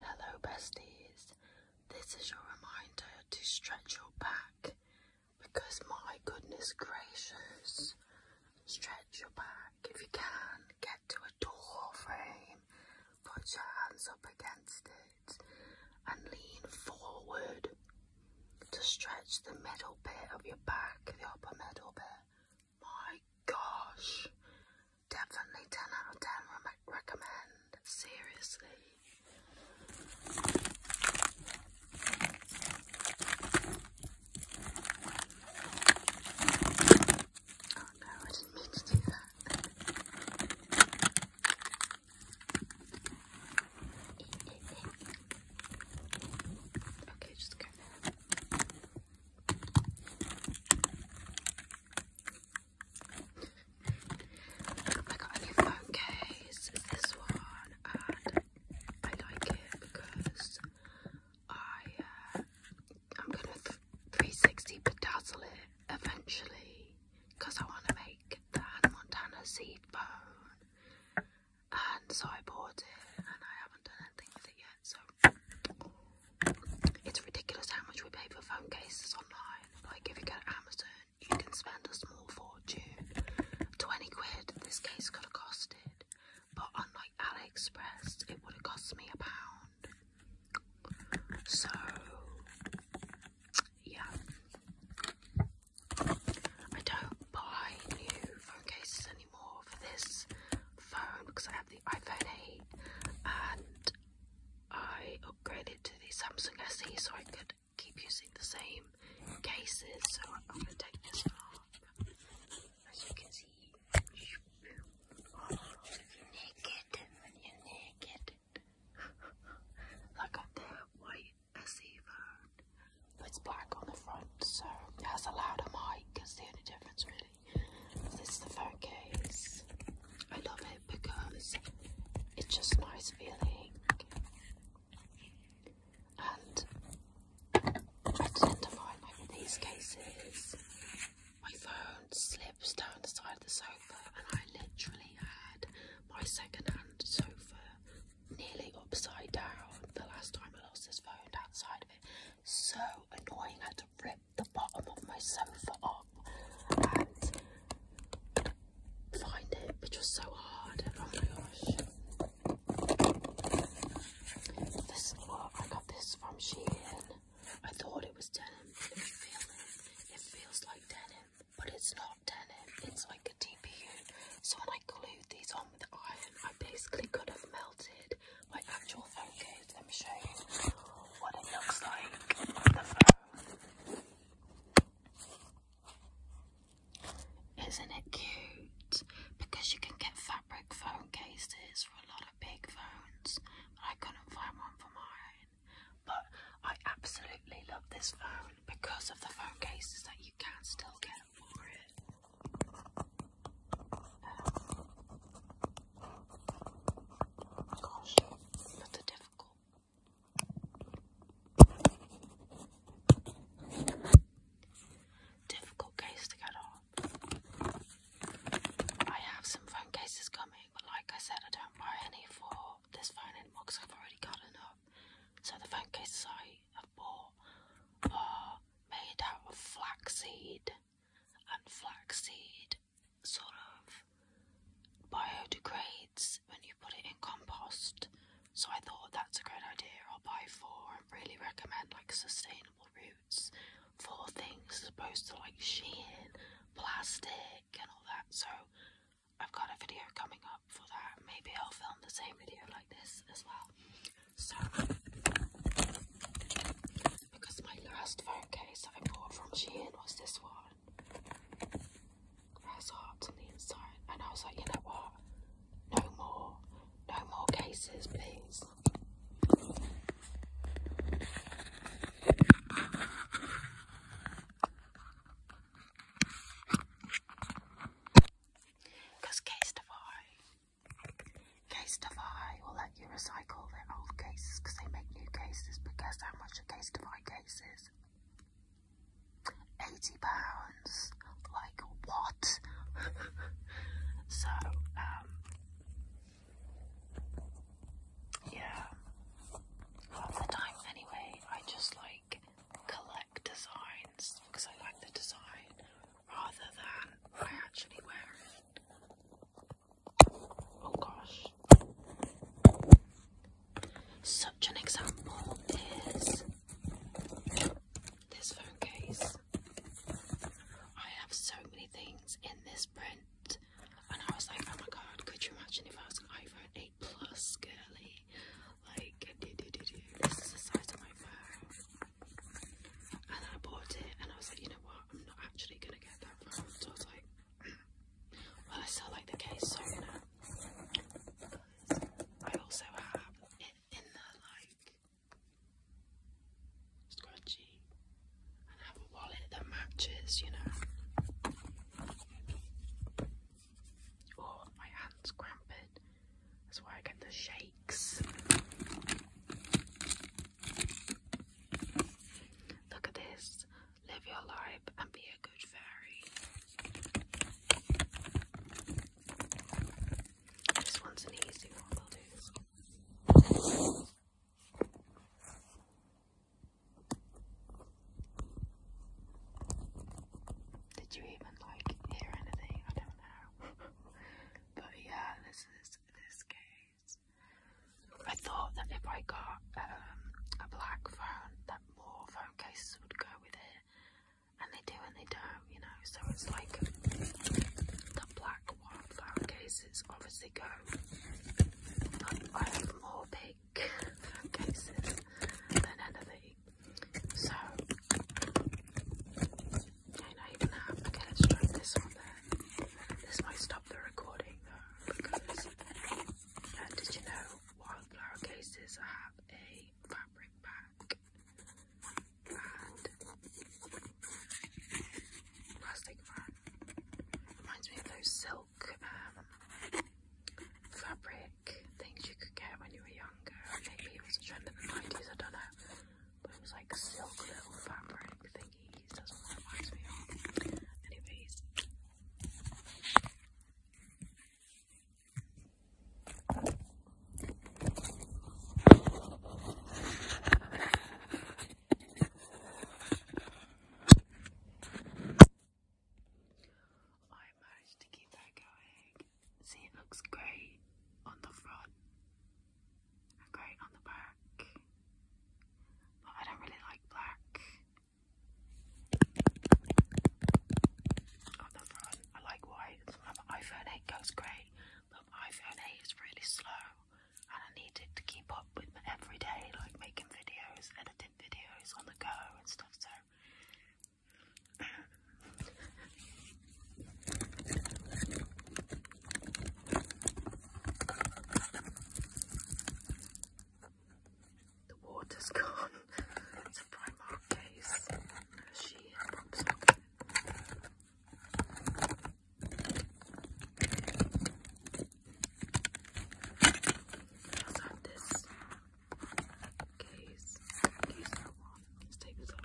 Hello, besties. This is your reminder to stretch your back because, my goodness gracious, stretch your back if you can. Get to a door frame, put your hands up against it, and lean forward to stretch the middle bit of your back, the upper middle bit. My gosh, Definitely 10 out of 10 re recommend. Seriously. Oh no, I didn't mean to do that. okay, just go there. I got a new phone case, this one, and I like it because I, am uh, gonna 360 bedazzle it eventually because I want to make the Montana seed phone, and so I bought it, and I haven't done anything with it yet, so. It's ridiculous how much we pay for phone cases online. Like, if you go to Amazon, you can spend a small fortune. 20 quid, this case could have costed. But unlike AliExpress, it would have cost me a pound. So, yeah. I don't buy new phone cases anymore for this phone because I have the iPhone 8 and I upgraded to the Samsung SE so I could keep using the same cases. So I'm gonna take this off. As you can see, you naked you naked. like on the white SE phone, it's black on the front, so it has a louder mic. It's the only difference, really. This is the phone case. I love it because it's just nice feeling. And I tend to find like these cases, my phone slips down the side of the sofa, and I literally had my second-hand sofa nearly upside down the last time I lost this phone outside of it. So annoying, I had to rip the bottom of my sofa up and find it, which was so hard. Oh my gosh. This is what I got this from Shein. I thought it was denim. Let it. feels like denim, but it's not denim. It's like a TPU. So when I glued these on with iron, I basically could have melted my actual phone case let me show you what it looks like Isn't it cute? Because you can get fabric phone cases for a lot of big phones. But I couldn't find one for mine. But I absolutely love this phone because of the phone cases that you can still get for it. Um, Gosh, that's a difficult. Difficult case to get on. I have some phone cases coming, but like I said, I don't buy any for this phone anymore because I've already got enough. So the phone cases I have bought are made out of flaxseed and flaxseed sort of biodegrades when you put it in compost. So I thought that's a great idea. I'll buy four. I really recommend like sustainable roots for things as opposed to like shein, plastic, and all that. So I've got a video coming up for that. Maybe I'll film the same video like this as well. So because my last phone case that I bought from Shein was this one. has hearts on the inside, and I was like, you know what? No more, no more cases, please. Because Case Defy, Case Defy, all I you recycle their old cases because they make new cases. But guess how much a case to buy cases? Eighty pounds. Like what? so, um, yeah. Half anyway, I just like collect designs because I like the design rather than I actually wear it. Oh gosh. Such an example is this phone case. I have so many things in this print, and I was like, oh my god, could you imagine if I was an iPhone 8 Plus girly? Like, do, do, do, do. this is the size of my phone. And I bought it, and I was like, you know what, I'm not actually gonna get that phone. I was like, well, I still like the case so you I also have it in the like scrunchie and have a wallet that matches, you know. Oh, my hand's cramping. That's why I get the shakes. Look at this live your life, and be a good fairy. This one's an easy one, Did you even like hear anything? I don't know. but yeah, this is this game I thought that if I got um, a black phone, that more phone cases would go with it, and they do and they don't, you know. So it's like the black one phone cases obviously go. I have more big phone cases than anything. So, I don't even have. Okay, let's try this one. This might stop the recording though, because uh, did you know wildflower cases have a fabric bag and plastic wrap? Reminds me of those silk um, fabric things you could get when you were younger. Maybe it was a trend in the 90s, I don't know. But it was like silk little fabric thing I managed to keep that going. See, it looks great on the front great on the back but I don't really like black. Up the front, I like white. My iPhone 8 goes great, but iPhone 8 is really slow, and I need it to keep up with my everyday, like making videos, editing videos on the go, and stuff. So. The water's gone. It's a Primark case. She pops up. let have this case. Case that one. Let's take this off.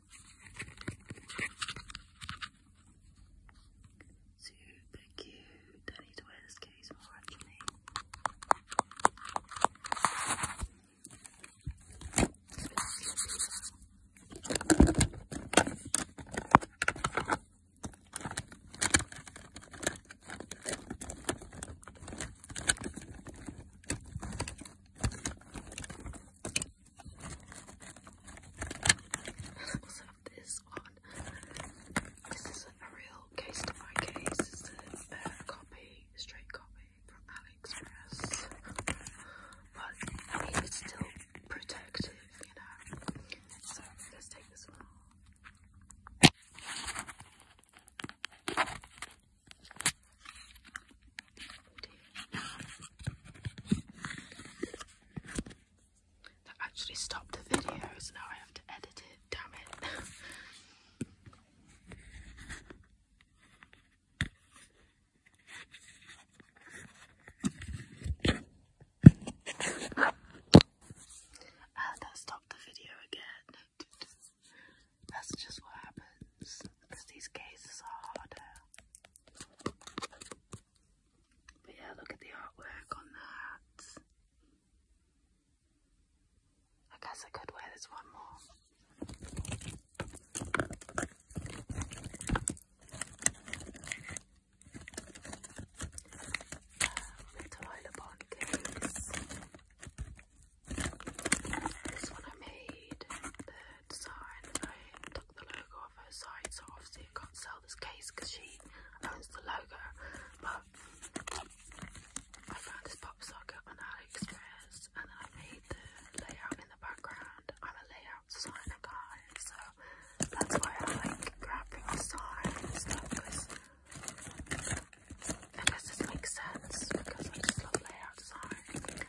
Super cute. I need to wear this case more actually. I also this one. This isn't a real case to my case, it's a copy, straight copy from AliExpress. But I mean, it's still protective, you know. So let's take this one that actually stopped the video, so now I have to edit it, damn it. And ah, that stopped the video again. That's just what happens because these cases are harder. But yeah, look at the artwork on that. I guess I could wear this one more. Little um, Isla case. This one I made the design, the logo off her side, so obviously I can't sell this case because she owns the logo. But I found this pop socket on AliExpress and then I made the layout in the background. I'm a layout designer, guy, so that's why I like grabbing design and stuff because I guess this makes sense because I just love layout design.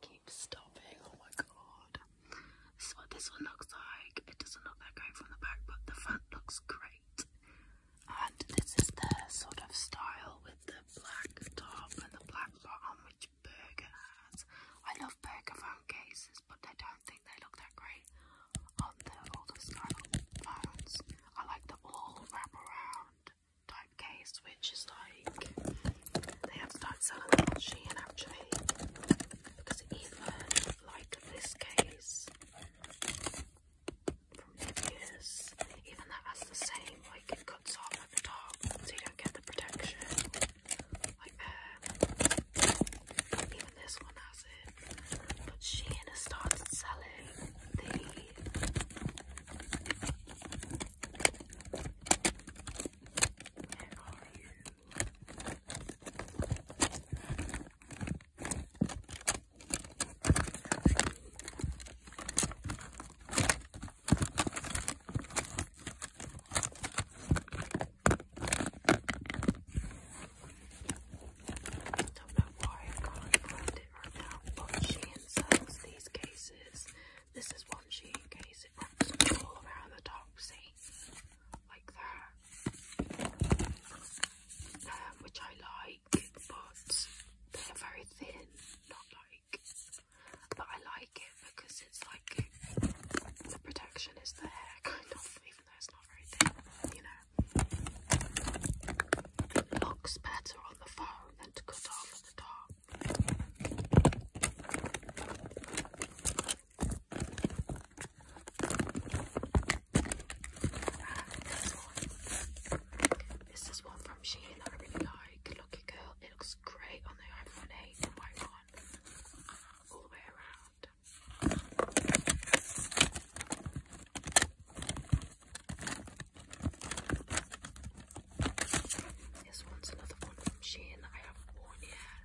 Keep stopping. Oh my god. This is what this one looks like. It doesn't look that great from the back, but the front looks great. And this is the sort of style with the black top and the black bottom, which Burger has. I love Burger phone cases, but I don't think they look that great on the older style phones. I like the all wrap around type case, which is like like they have started selling them on actually. Because even like this case from Vivius, even that has the same, like it cuts off at the top so you don't get the protection. Like there. Um, even this one has it. But Shein has started selling the don't know why I can't it right now, but she sells these cases. This is one she cases all around the top, see? Like that. Um, which I like, but they're very thin, not like, but I like it because it's like, the protection is there, kind of, even though it's not very thin, you know. looks better on the phone than to cut off at the top this is one from Shein that I really like. Lucky Girl. It looks great on the iPhone 8 and white one. All the way around. This one's another one from Shein that I haven't worn yet.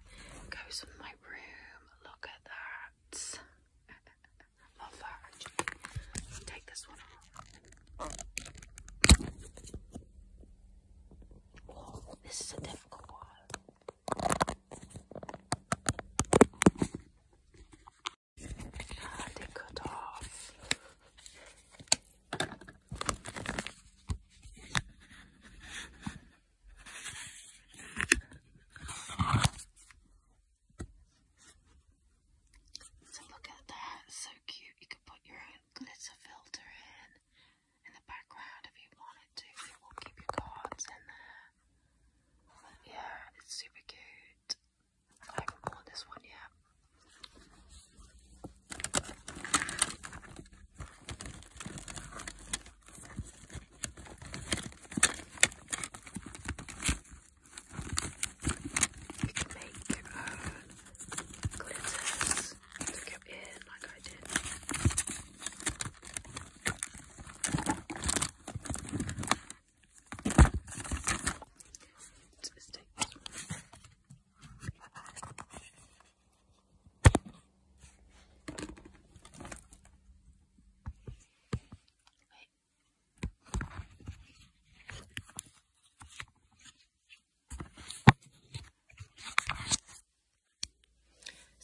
Goes in my room. Look at that. Love that take this one off. this is a difficult one. And it off. So look at that, so cute. You could put your own glitter filter in in the background if you wanted to. It will keep your cards in there. yeah, it's super cute. I haven't this one yet. You can make glitters to go in like I did. just take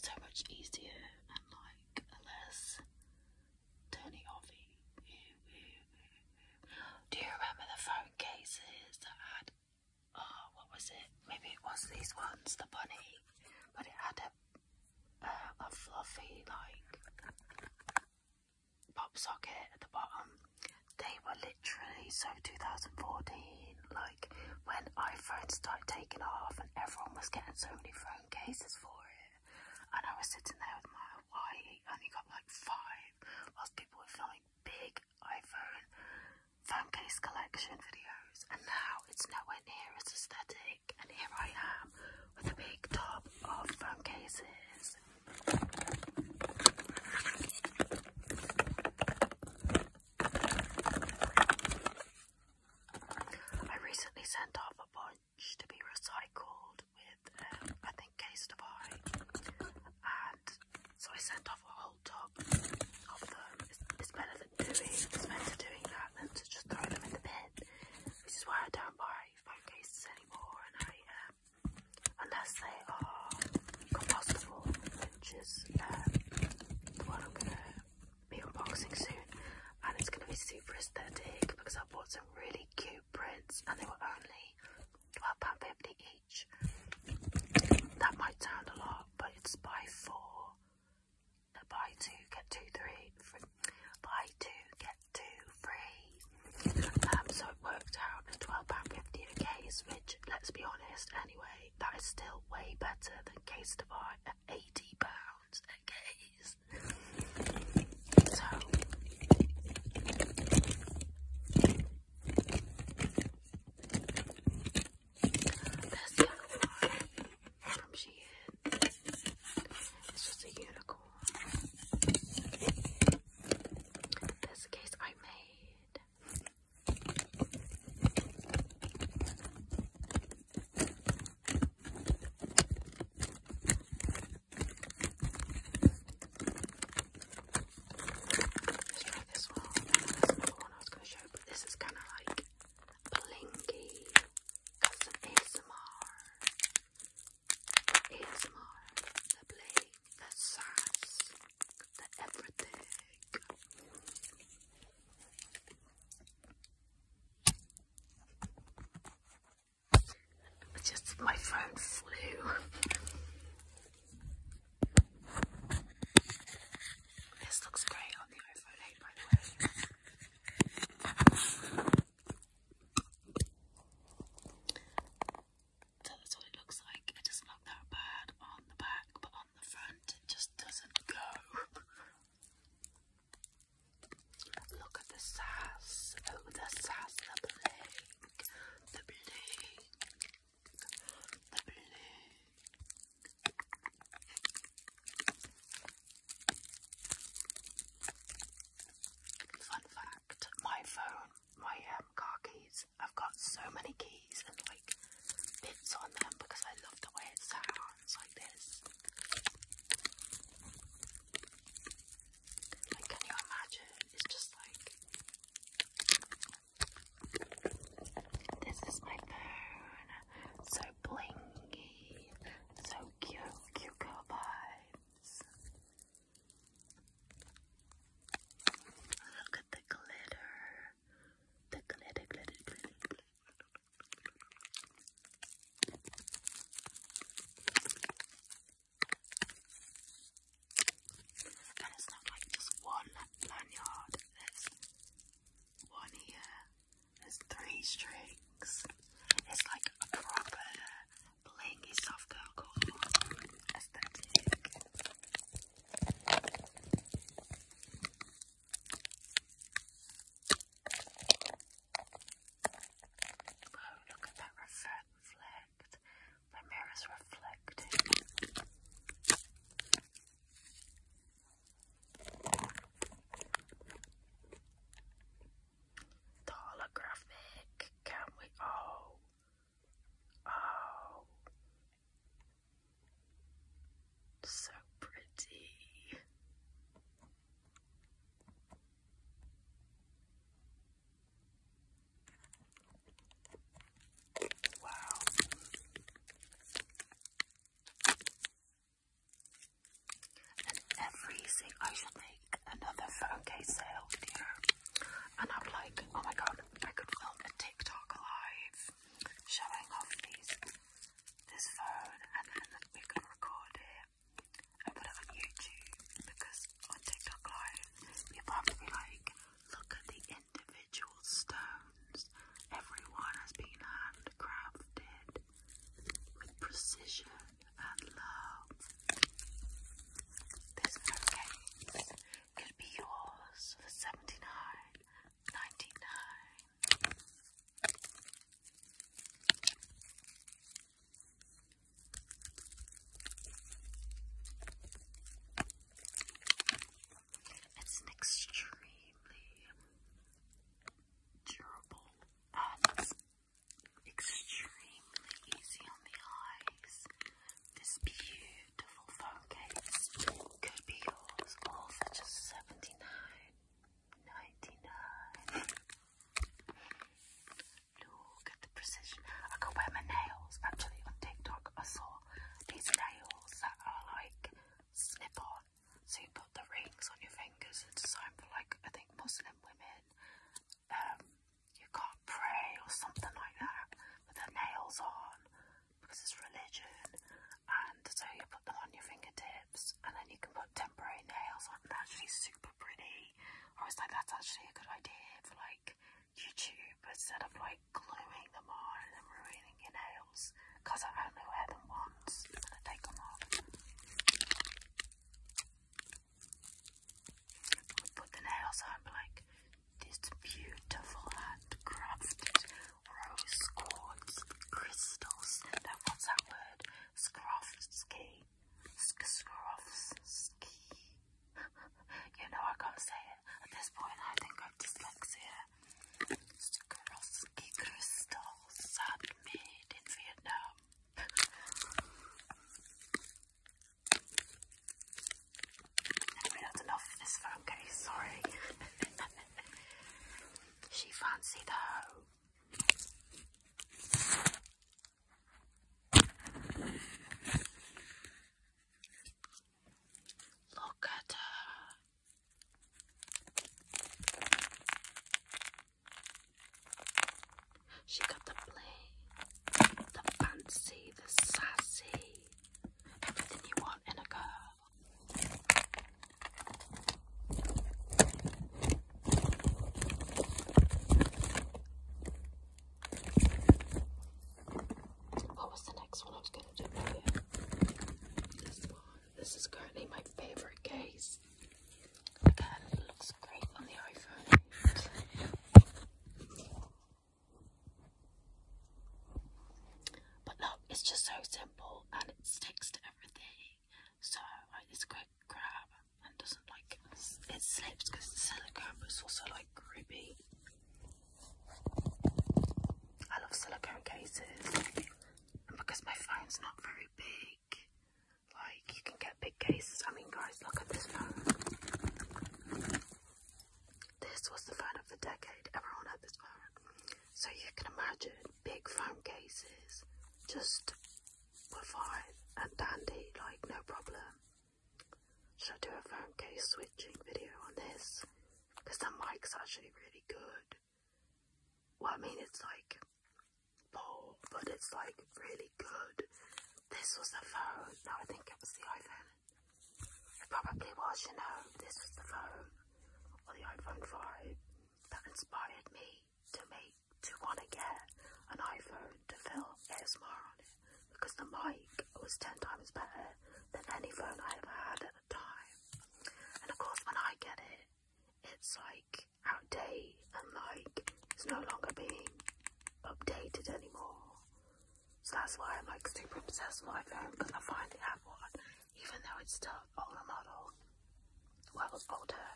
so much easier and like less turning offy. Do you remember the phone cases that had oh, what was it? Maybe it was these ones, the bunny, but it had a uh, a fluffy like pop socket at the bottom. They were literally so 2014, like when iPhones started taking off and everyone was getting so many phone cases for it. And I was sitting there with my Hawaii, only got like five, whilst people were filming big iPhone phone case collection videos, and now it's nowhere near as aesthetic. And here I am with a big top of phone cases. I recently sent off a bunch to be recycled with, um, I think, Case Divine, and so I sent off a whole tub of them. It's, better than doing it's better doing that than to just throw them in the bin. This is why I don't buy phone cases anymore and I um, unless they are compostable, which is um, the one I'm gonna be unboxing soon and it's gonna be super aesthetic because I bought some really cute prints and they were only £12.50 that might sound a lot, but it's by four, uh, buy two, get two two, three, three, buy two, get two, three. Um, so it worked out at £12.50 a case, which, let's be honest, anyway, that is still way better than case to buy at £80 a case. This one from Shein. It's just a unicorn. This case I made. Let's try this one. That's another one I was going to show, but this is kind of like blingy. That's an ASMR. ASMR. The bling, the sass, the everything. just my phone flew. This looks great on the iPhone 8, by the way. So that's what it looks like. It doesn't look that bad on the back, but on the front, it just doesn't go. Look at the sass. Oh, the sass, the bling, the bling. Fun fact, my phone, my um, car keys, I've got so many keys and like bits on them because I love the way it sounds like this. can you imagine? It's just like this is my phone. So blingy. So cute. Cute vibes. Look at the glitter. The glitter, glitter, glitter. And it's not like just one lanyard, there's one here, there's three strings. It's like a proper blingy soft girl core aesthetic. Oh, look at that reflect. The mirror's reflecting holographic. Can we? Oh, oh, so pretty. Wow. And every I should make another phone case sale with And I'm like, oh my god, I could film a TikTok live showing off these, this phone, and then we could record it and put it on YouTube because on TikTok live, people have to be like, look at the individual stones. Every has been handcrafted with precision and love. This bookcase could be yours for seventy-nine ninety-nine. It's an extremely durable extremely easy on the eyes. This beautiful phone case could be yours all for just 79 Look at the precision. I could my nails actually on TikTok. I saw these nails that are like snip on. So you put the rings on your fingers. It's designed for like I think Muslim women. Um, you can't pray or something like that with the nails on because it's religion. And so you put them on your fingertips, and then you can put temporary nails on. And actually, super pretty. I was like, that's actually a good idea for like YouTube instead of like gluing them on and ruining your nails because I only wear them once and I take them off. put the nails on but like this beautiful handcrafted rose quartz crystals. That what's that word? Scroff ski. you know I can't say it at this point. I think I've dyslexia. Swarovski crystals are in Vietnam. that's enough of this for okay, sorry. she fancied her. Look at her. She got the play, the fancy, the sassy, everything you want in a girl. What was the next one this is currently my favourite case. Again, looks great on the iPhone. But look, it's just so simple and it sticks to everything. So like, it's quick grab and doesn't like it slips because the silicone, but it's also like grippy. I love silicone cases, and because my phone's not very big, like you can get big cases. I mean, guys, look at this phone. This was the phone of the decade. Everyone had this phone, so you can imagine big phone cases, just were fine and dandy, like no problem. Should I do a phone case switching video on this? Because the mic's actually really good. Well, I mean, it's like poor, but it's like really good. This was the phone. No, I think it was the iPhone. probably was, you know. This was the phone or the iPhone 5 that inspired me to make, to want to get an iPhone to film ASMR on it because the mic was 10 times better than any phone I ever had at the time. And of course, when I get it, it's like outdated and like it's no longer being updated anymore. So that's why I'm like super obsessed with iPhone because I finally have one, even though it's still older model. Well, older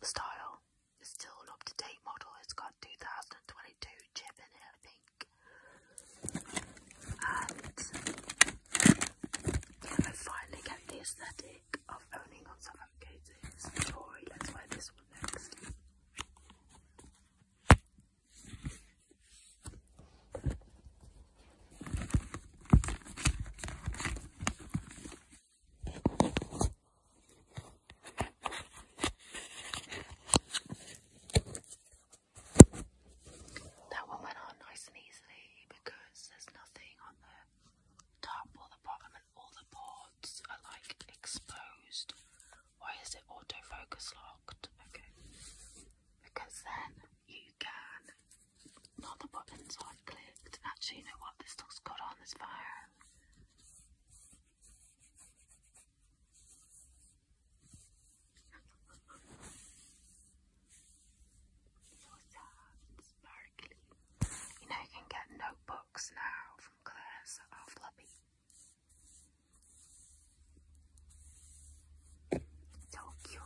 style. It's still an up to date model. It's got 2022 chip in it, I think. And yeah, I finally get the aesthetic of owning on some coats. Tory, let's wear this one next. That one went on nice and easily because there's nothing on the top or the bottom and all the boards are like exposed. Why is it autofocus locked? Okay. Because then you can not the buttons I've clicked. Actually you know what this looks good on this phone. You know you can get notebooks now from Claire's or Floppy. So cute.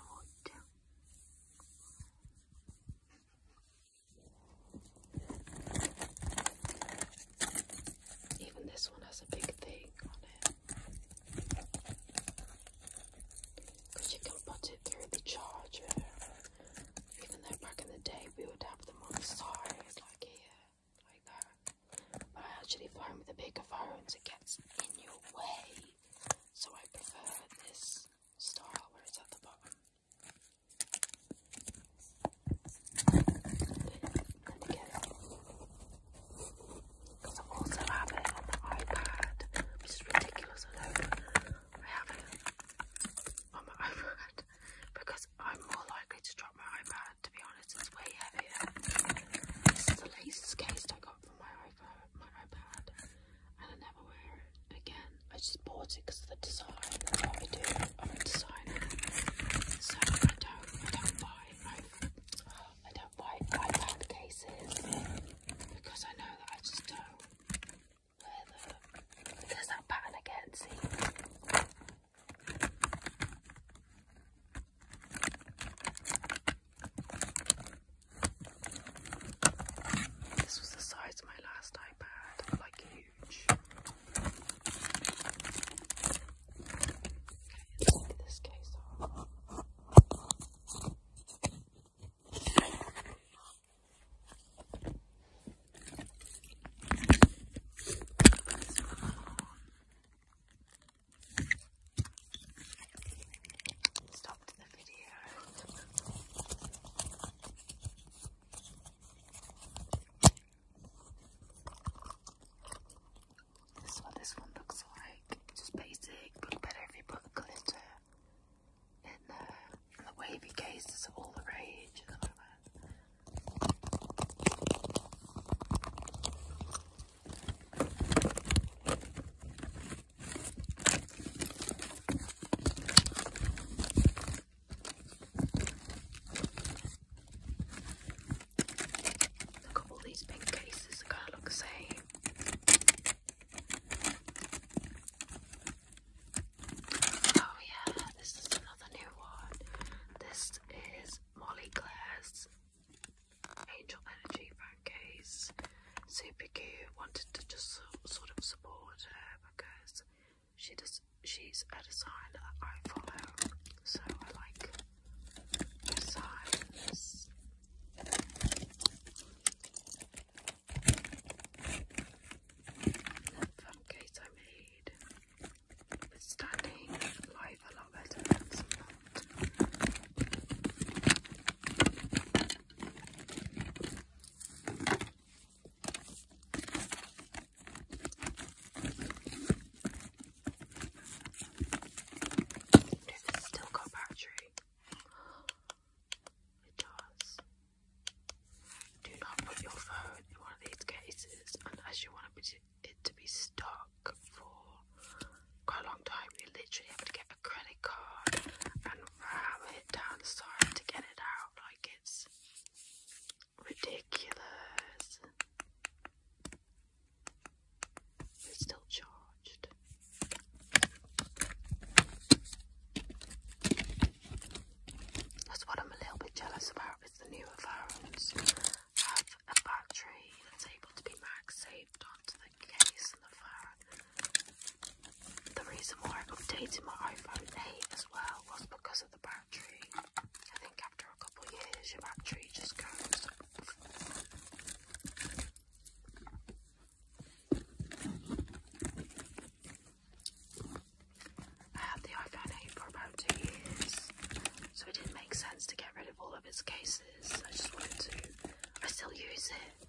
Even this one has a big thing on it. you can put it through the charger. Even though back in the day we would have them on the side, like here, like that. But I actually find with the bigger phones it gets in your way. So I prefer this style where it's at the bottom. Because I also have it on my iPad, which is ridiculous. I know I have it on my iPad because I'm more likely to drop my iPad. To be honest, it's way heavier. This is the latest case I got from my iPad, and I never wear it again. I just bought it because of the design. That's what we do. I'm a designer, so I don't I don't buy, I don't buy five cases because I know that I just don't wear them. There's that pattern again, see? This was the size of my last iPad, like you huge. Let's get this case off. Stopped the video. This is what this one looks like. Just basic, look better if you put glitter in there. Uh, the wavy cases are all the rage at the moment. Look at all these pink cases, they kind of look the same. Oh yeah, this is another new one. This is Molly Claire's Angel Energy phone case. Super cute. Wanted to just sort of support her because she does. She's a designer I follow, so I like designs. Fun case I made. It's standing live a lot better does it still go battery? It does. Do not put your phone in one of these cases unless you want it to be stuck for quite a long time. You literally have to get a credit card and ram it down the side to get it out. Like it's ridiculous. It's still charged. That's what I'm a little bit jealous about is the newer phones have a battery that's able to be mag-saved onto the case The reason why I updated my iPhone 8 as well was because of the battery. I think after a couple years, your battery just goes. I had the iPhone 8 for about two years, so it didn't make sense to get rid of all of its cases. I just wanted to. I still use it.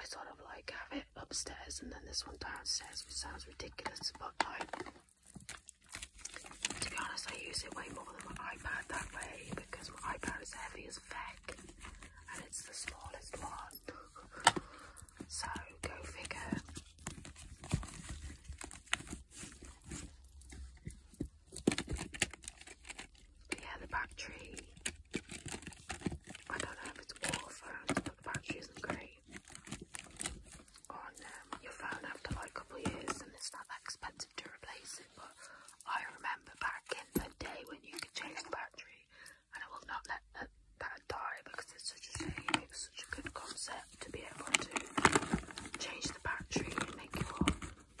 I sort of like have it upstairs and then this one downstairs, which sounds ridiculous, but like to be honest, I use it way more than my iPad that way because my iPad is heavy as feck and it's the smallest one. so go figure. yeah, the battery. I don't know if it's all phones, but the battery isn't great on um, your phone after like a couple of years and it's not that expensive to replace it but I remember back in the day when you could change the battery and I will not let that, that die because it's such a shame, it's such a good concept to be able to change the battery and make it more,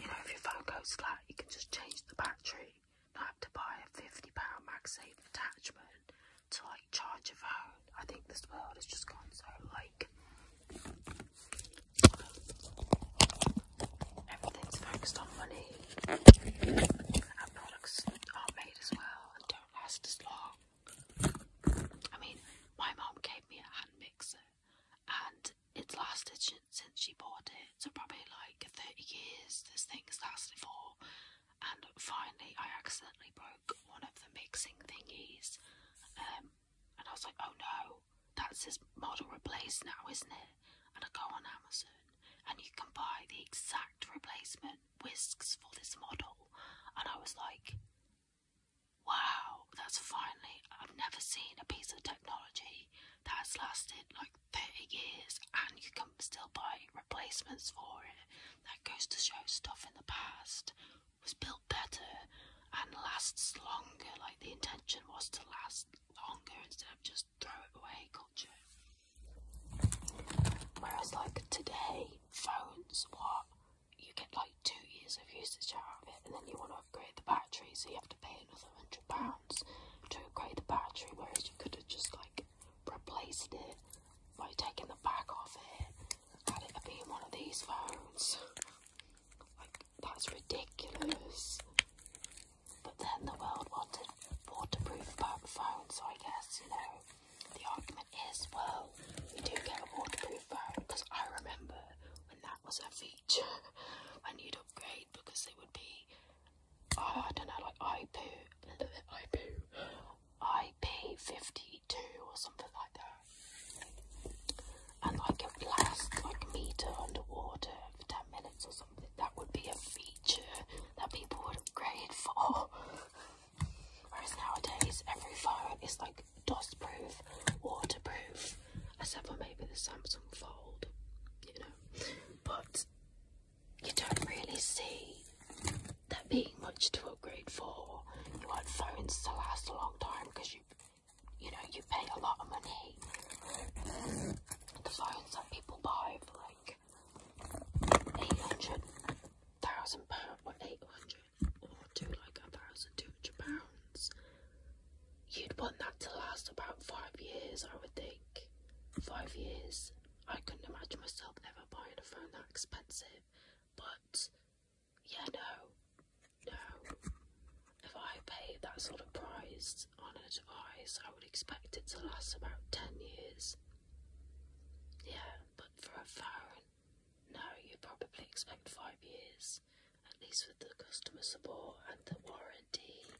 you know if your phone goes flat you can just change the battery not have to buy a £50 MagSafe attachment to like charge your phone I think this world has just gone so like everything's focused on money and products aren't made as well and don't last as long. I mean, my mom gave me a hand mixer and it's lasted since she bought it, so probably like 30 years this thing has lasted for. And finally, I accidentally broke one of the mixing thingies. Um, and I was like, oh no, that's his model replaced now, isn't it? And I go on Amazon and you can buy the exact replacement whisks for this model. And I was like, wow, that's finally, I've never seen a piece of technology that's lasted like 30 years and you can still buy replacements for it. That goes to show stuff in the past was built better and lasts longer, like the intention was to last longer instead of just throw it away culture. Whereas, like today, phones, what you get like two years of usage out of it, and then you want to upgrade the battery, so you have to pay another hundred pounds to upgrade the battery. Whereas you could have just like replaced it by taking the back off it had it be one of these phones. Like, that's ridiculous. But then the world wanted waterproof phones, so I guess, you know, the argument is, well, we do get a waterproof phone, because I remember when that was a feature, I need upgrade, because they would be, oh, I don't know, like, I poo, I poo, I IP52 or something like that, and like it lasts like a meter underwater for 10 minutes or something, that would be a feature that people would upgrade for. Whereas nowadays, every phone is like dust proof, waterproof, except for maybe the Samsung Fold, you know, but you don't really see that being much to upgrade for. You want phones to last a long time because you, you know, you pay a lot of money. The phones that people buy for like eight hundred thousand pounds, or eight hundred, or to like a thousand two hundred pounds. You'd want that to last about five years, I would think. Five years. I couldn't imagine myself ever buying a phone that expensive, but yeah, no, no. If I paid that sort of price on a device, I would expect it to last about 10 years. Yeah, but for a phone, no, you probably expect five years, at least with the customer support and the warranty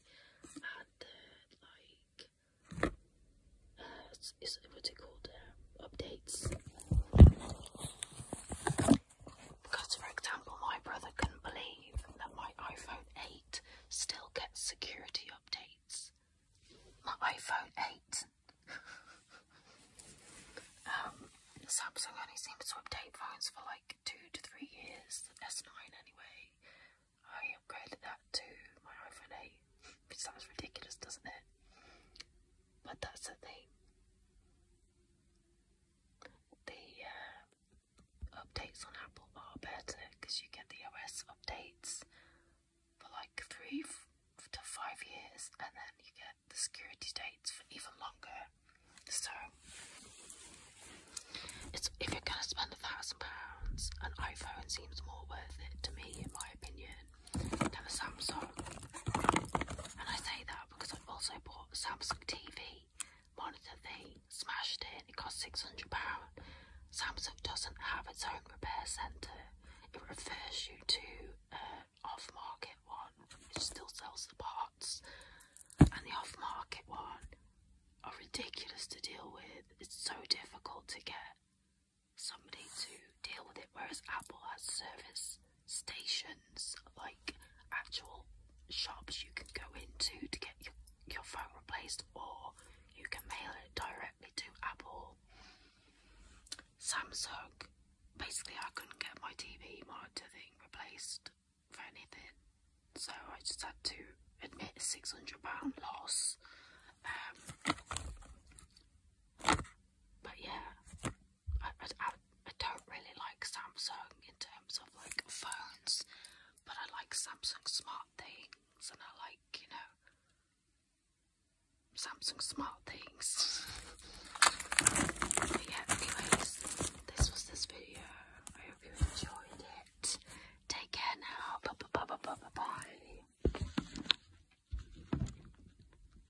and the, like, uh, is, what's it called? Uh, updates. Because, for example, my brother couldn't believe that my iPhone 8 still gets security updates. My iPhone 8. um, Samsung only seems to update phones for like two to three years. S9 anyway. I upgraded that to my iPhone 8, which sounds ridiculous, doesn't it? But that's the thing the uh, updates on Apple are better because you get the OS updates for like three to five years, and then you get the security dates for even longer. So, it's, if you're going to spend a thousand pounds, an iPhone seems more worth it to me, in my opinion than a Samsung. And I say that because I've also bought a Samsung TV monitor thing, smashed it, it cost £600. Samsung doesn't have its own repair centre, it refers you to uh, off market one which still sells the parts. And the off market one are ridiculous to deal with, it's so difficult to get somebody to deal with it, whereas Apple has service stations, like actual shops you can go into to get your, your phone replaced, or you can mail it directly to Apple. Samsung, basically, I couldn't get my TV monitor thing replaced for anything, so I just had to admit a £600 loss. Um, but yeah, I, I, I don't really like Samsung in terms of like phones, but I like Samsung smart things and I like, you know, Samsung smart things. but yeah, anyways, this was this video. I hope you enjoyed it. Take care now. Bye bye bye bye bye bye.